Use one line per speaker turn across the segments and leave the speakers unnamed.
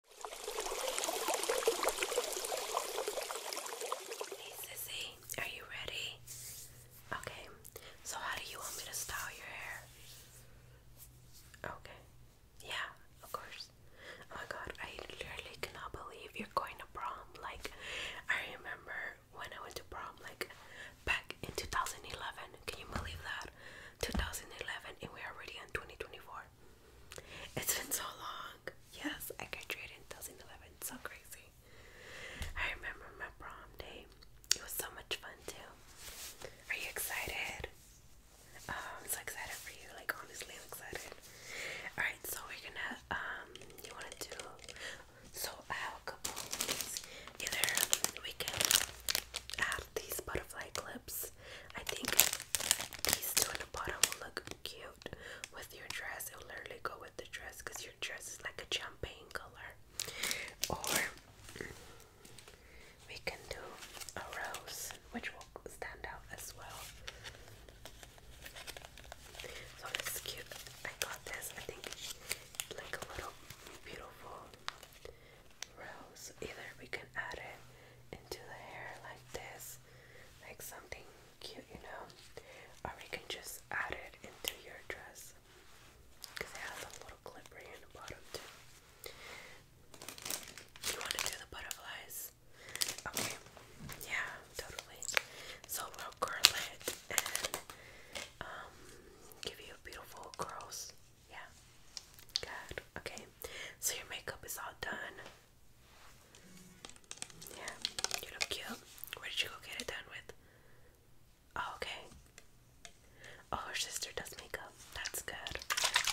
Hey sissy, are you ready? Okay, so how do you want me to style your hair? Okay, yeah, of course. Oh my god, I literally cannot believe you're going to prom. Like, I remember when I went to prom, like back in 2011. Can you believe that? 2011, and we're already in 2024. It's been so long. Yes, I graduated in 2011. So crazy. I remember my prom day. It was so much fun too. Are you excited? Um, I'm so excited for you. Like honestly, I'm excited. All right, so we're gonna um, you wanna do? So I have a couple Either we can add these butterfly clips. I think these two in the bottom will look cute with your dress. It will literally go with the dress because your dress is like a champagne color. Or we can do a rose, which will stand out as well. So this is cute. I got this. I think it's like a little beautiful rose. Either we can add it into the hair like this, like something cute, you know, or we can just add it into your dress because it has a little clip in the bottom, too. You want to do the butterflies? Okay, yeah, totally. So we'll curl it and um, give you beautiful curls. Yeah. Good. Okay. So your makeup is all done. Yeah. You look cute. Where did you go get it done with? Oh, okay. Oh, her sister does makeup. That's good.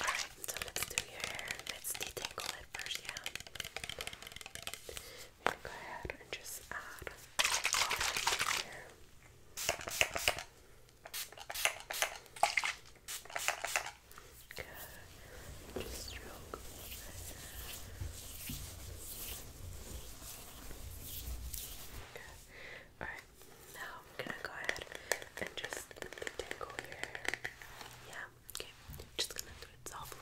Alright, so let's do your hair. Let's detangle it first, yeah. We're gonna go ahead and just add water here. Good. Just stroke. Good. Alright, now I'm gonna go ahead and just tingle your Yeah, okay. Just gonna do it softly.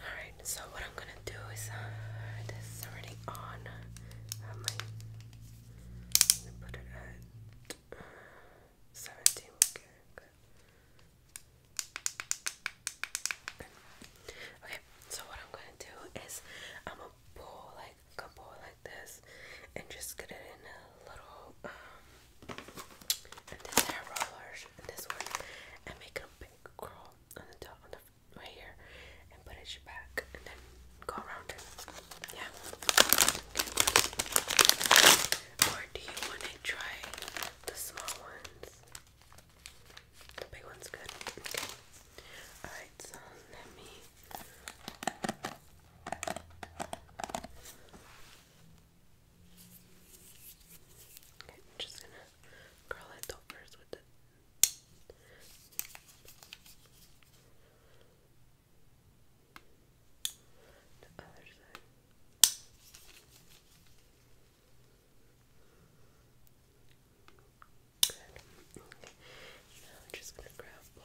Alright, so what I'm gonna do is uh, this is already on uh, my. Let me put it at uh, 17. Okay, Okay. so what I'm gonna do is I'm gonna pull like a couple like this and just get it in a little. Um, and this hair roller and this one and make a big curl on the top on the right here and put it back and then go around it. Yeah. Or do you want to try the small ones? The big one's good. Okay. Alright, so let me Okay, I'm just gonna curl it top with The other side. Now I'm just gonna grab both.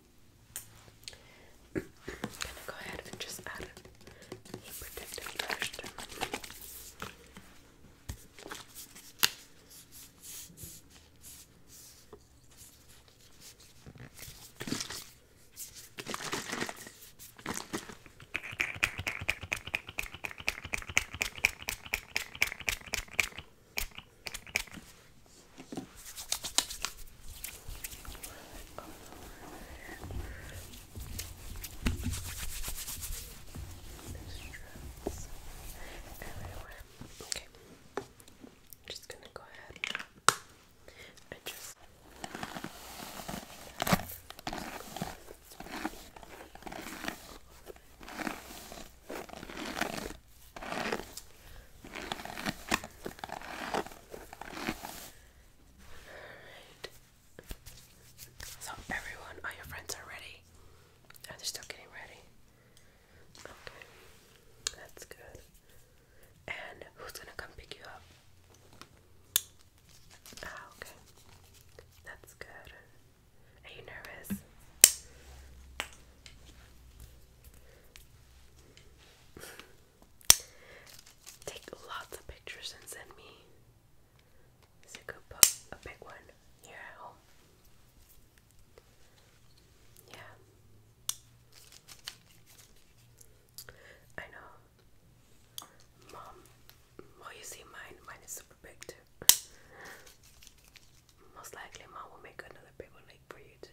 I'm gonna go ahead and just add a protective brush there's everywhere. Okay. I'm just gonna go ahead and just Okay. So everyone, all your friends are ready. Oh, they're still getting ready. Okay. That's good. And who's gonna come pick you up? Ah, okay. That's good. Are you nervous? Take lots of pictures and send me so you could put a big one here at home. Yeah. I know. Mom, well, you see mine. Mine is super big too. Most likely, mom will make another big one like for you too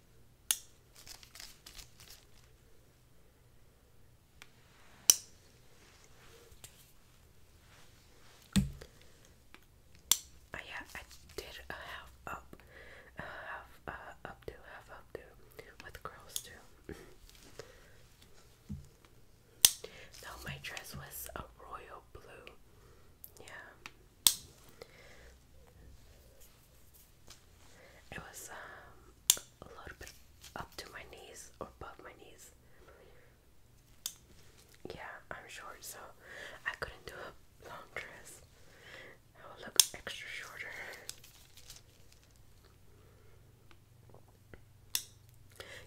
Oh yeah, I did a half up, half uh, half up with girls too. no, my dress was a royal blue. Yeah. It was um, a little bit up to my knees or above my knees. Yeah, I'm short, so I couldn't do a long dress. I will look extra shorter.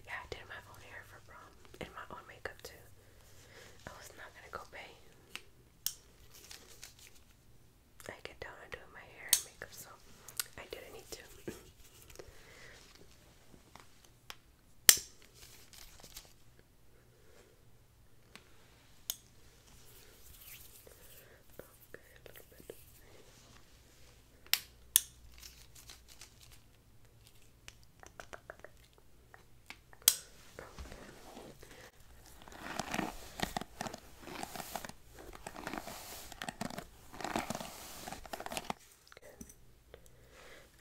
Yeah, I did my own hair for prom and my own makeup too. I was not gonna go pay. I get down and my hair and makeup, so I didn't need to.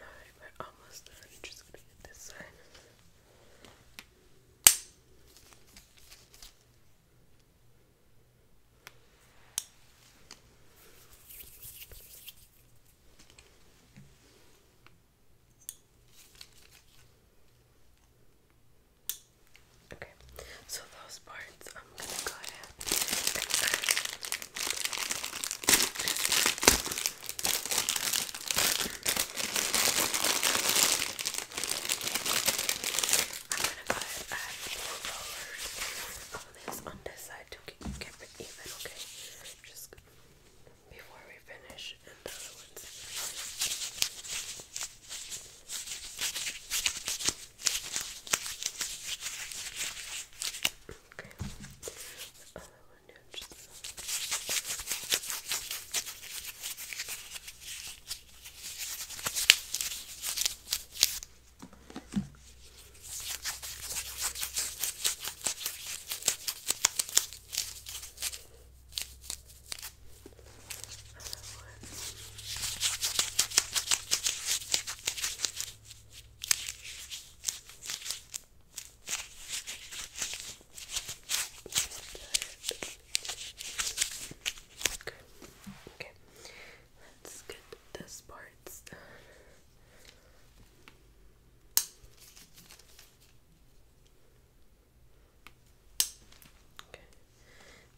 Alright, we're almost done. just gonna get this side. Okay, so those parts I'm gonna go ahead I'm gonna go ahead and add more rollers on this on this side to keep, it even. Okay, just before we finish and the Okay. The other one yeah, just Okay. Okay. Let's get this part. Okay,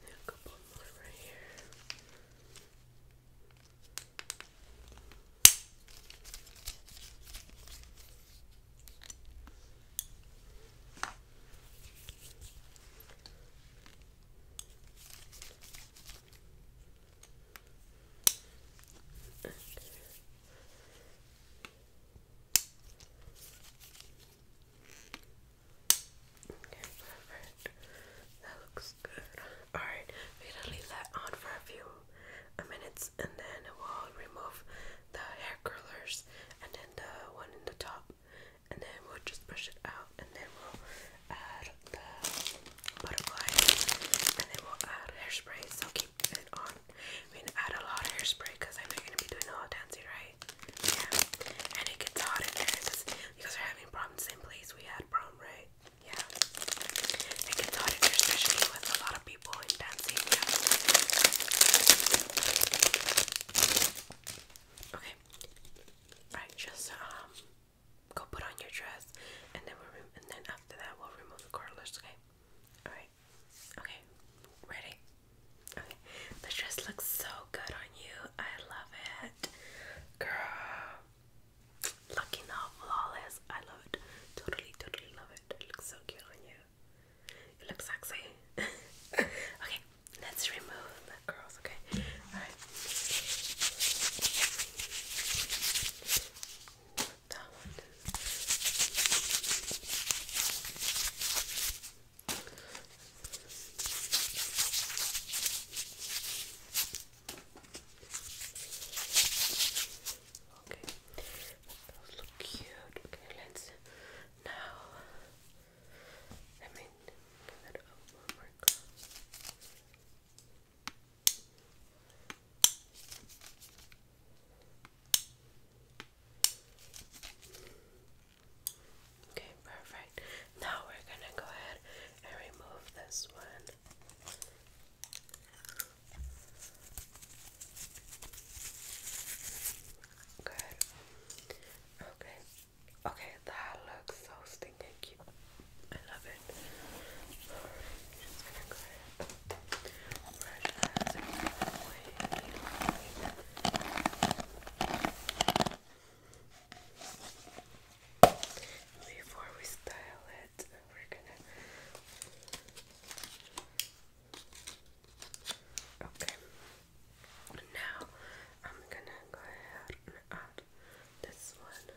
now a couple more right here. Okay, perfect. That looks good. Alright, we're gonna leave that on for a few minutes and then we'll remove the hair curlers and then the one in the top and then we'll just brush it out and then we'll add the butterfly and then we'll add hairspray so keep it on I mean add a lot of hairspray because I am gonna be doing a lot of dancing right yeah and it gets hot in there because we guys are having problems in place we had prom right yeah it gets hot in there especially with a lot of people dancing yeah okay Alright, just um go put on your dress, and then we'll and then after that we'll remove the curlers. Okay. All right. Okay. Ready? Okay. This dress looks so good on you. I love it, girl. Looking all flawless. I love it. Totally, totally love it. It looks so cute on you. It looks sexy. okay, let's remove the curls. Okay. All right that one. Okay, those look cute. Okay, let now. Let me that up one Okay, perfect. Now we're going to go ahead and remove this one. Good. Okay. Okay, that looks so stinking cute. I love it. Before we style it, we're gonna. Okay. Now I'm gonna go ahead and add this one.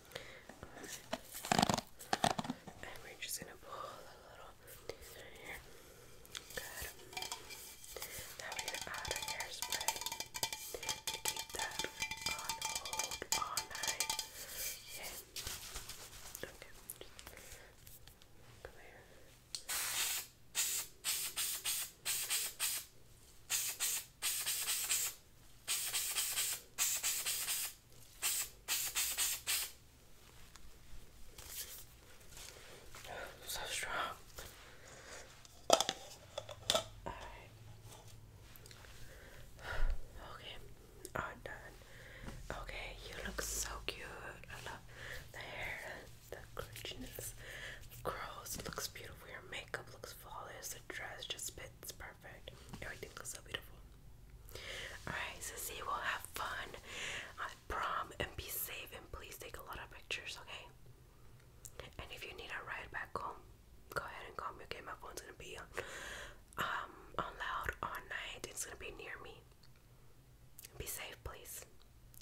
And we're just gonna pull a little here. Good. Now we're gonna hairspray to keep that hold all night. Okay. Come here. So strong. All right. Okay, all done. Okay, you look so cute. I love the hair, the crunchiness, the curls. Looks beautiful. Your makeup looks flawless. The dress just it's perfect. Everything looks so beautiful. Alright, so we'll have fun at prom and be safe and please take a lot of pictures, okay? And if you need a ride back home, go ahead and call me, okay? My phone's gonna be um on loud all night. It's gonna be near me. Be safe, please.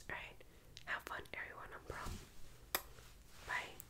Alright. Have fun everyone on prom. Bye.